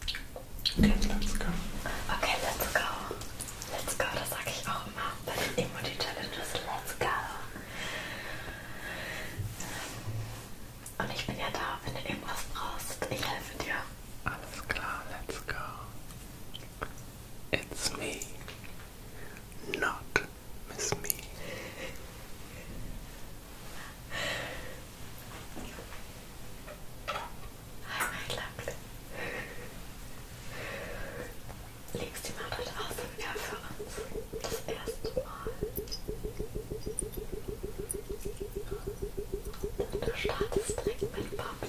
Okay, let's go. Okay, let's go. Let's go, das sage ich auch immer bei den Emoji-Challenges. Let's go. Und ich bin ja da, wenn du irgendwas brauchst. Ich helfe dir. Alles klar, let's go. It's me. Not miss me. Hi, mein Lachs. Legst die mal dort aus und ja, für uns das erste Mal. Du startest direkt mit Bubble.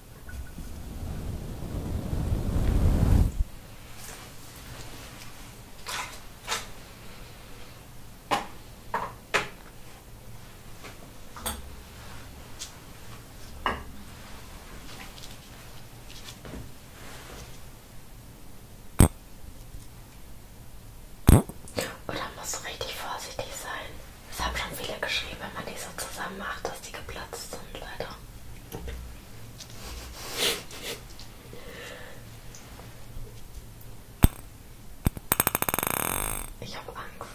Und da musst du richtig vorsichtig sein. Es haben schon viele geschrieben, wenn man die so zusammen macht, dass die geplatzt sind, leider. Ich habe Angst.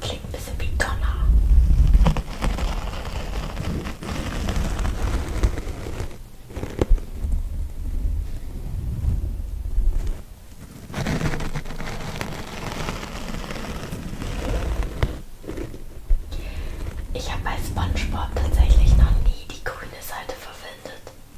Klingt ein bisschen wie Donner. Ich habe bei SpongeBob tatsächlich noch nie die grüne Seite verwendet.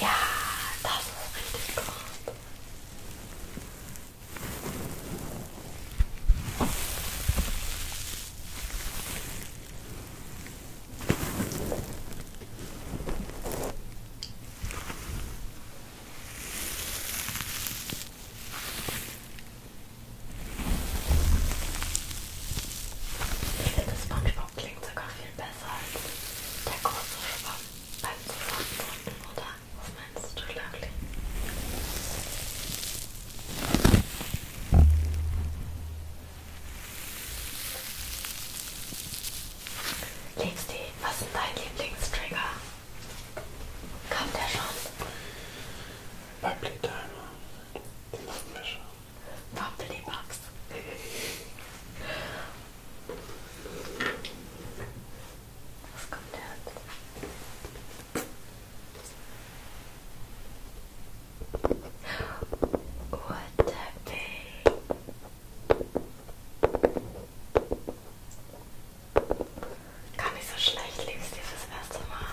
Ja, das ist richtig gut. Ich finde, das Spongebob klingt sogar viel besser als der große Schwamm beim Zusammendrücken, oder? Was meinst du, Claudia? Liebste, was ist dein Lieblingstrigger? Kommt der schon? Bei Playtimer. Den hatten wir schon. Bubblybugs. Was kommt jetzt? Waterpay. Gar nicht so schlecht, liebst du fürs erste Mal.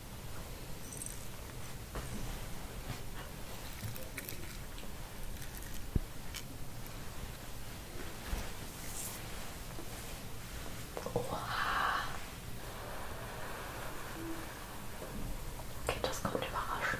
Oha. Okay, das kommt überraschend.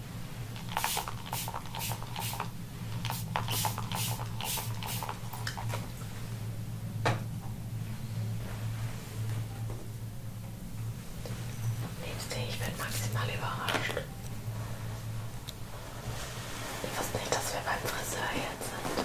Nimmst du, ich bin maximal überrascht. Ich wusste nicht, dass wir beim Friseur jetzt sind.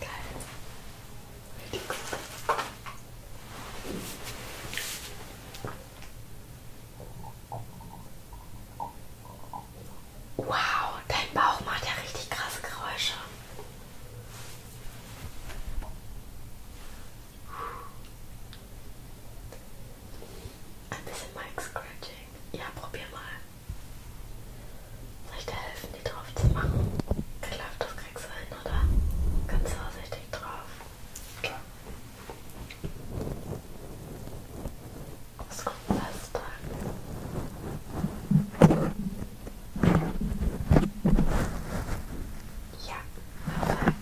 Geil. Richtig gut. Wow, dein Bauch macht ja richtig krasse Geräusche. Ein bisschen Mic Scratching. Ja, probier mal. Soll ich dir helfen, die drauf zu machen? Ich glaube, das kriegst du hin, oder? Ganz vorsichtig drauf. Klar. Das kommt fest an. Ja, perfekt.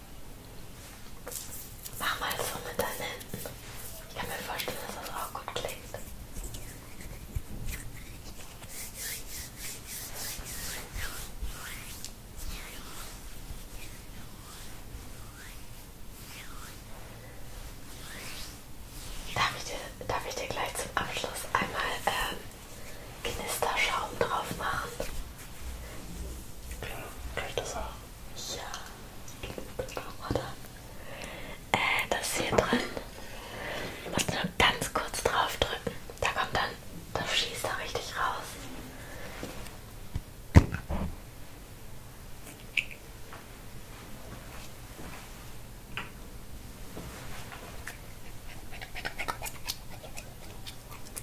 Mach mal so mit deinen Händen. Ich kann mir vorstellen, dass das auch gut klingt. Darf ich dir, darf ich dir gleich zum Abschluss einmal ähm, Knisterschaum drauf machen. Klar, kann ich das auch. Ja. Oder? Äh, das ist hier drin. Du musst nur ganz kurz drauf drücken. Da kommt dann, das schießt da richtig raus.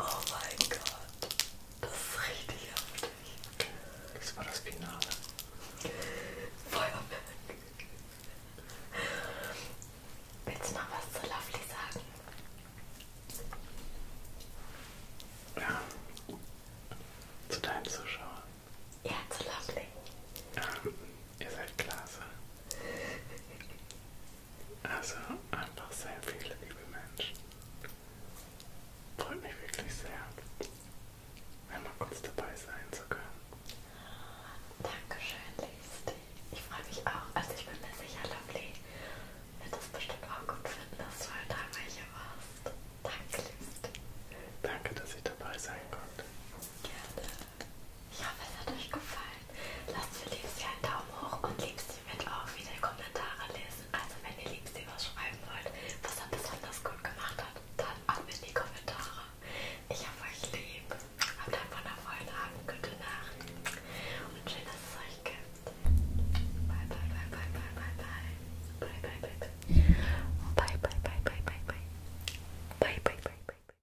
Oh mein Gott, das ist richtig heftig. Das war das Finale. Feuerwerk. Willst du noch was zu Lovely sagen? Ja. Zu deinen Zuschauern. Ja, zu Lovely. Ja, ihr seid klasse. Also einfach sehr viele liebe Menschen. Freut mich wirklich sehr, einmal kurz dabei sein zu können. Dankeschön, Listy. Ich freue mich auch. Also ich bin mir sicher, Lovely wird das bestimmt auch gut finden, dass du heute halt dabei hier warst. Danke, Listy. Danke, dass ich dabei sein konnte. Gerne. Ich hoffe, es hat euch gefallen. Lasst für Liebsy einen Daumen hoch und Liebsy wird auch wieder Kommentare lesen. Also wenn ihr Liebsy was schreiben wollt, was er besonders gut gemacht hat, dann ab in die Kommentare. Ich hab euch lieb. Habt einen wundervollen Abend, gute Nacht und schön, dass es euch gibt. Bye, bye, bye, bye, bye, bye, bye. Bye, bye, bye, bye. Bye, bye, bye, bye, bye, bye. Bye, bye, bye, bye.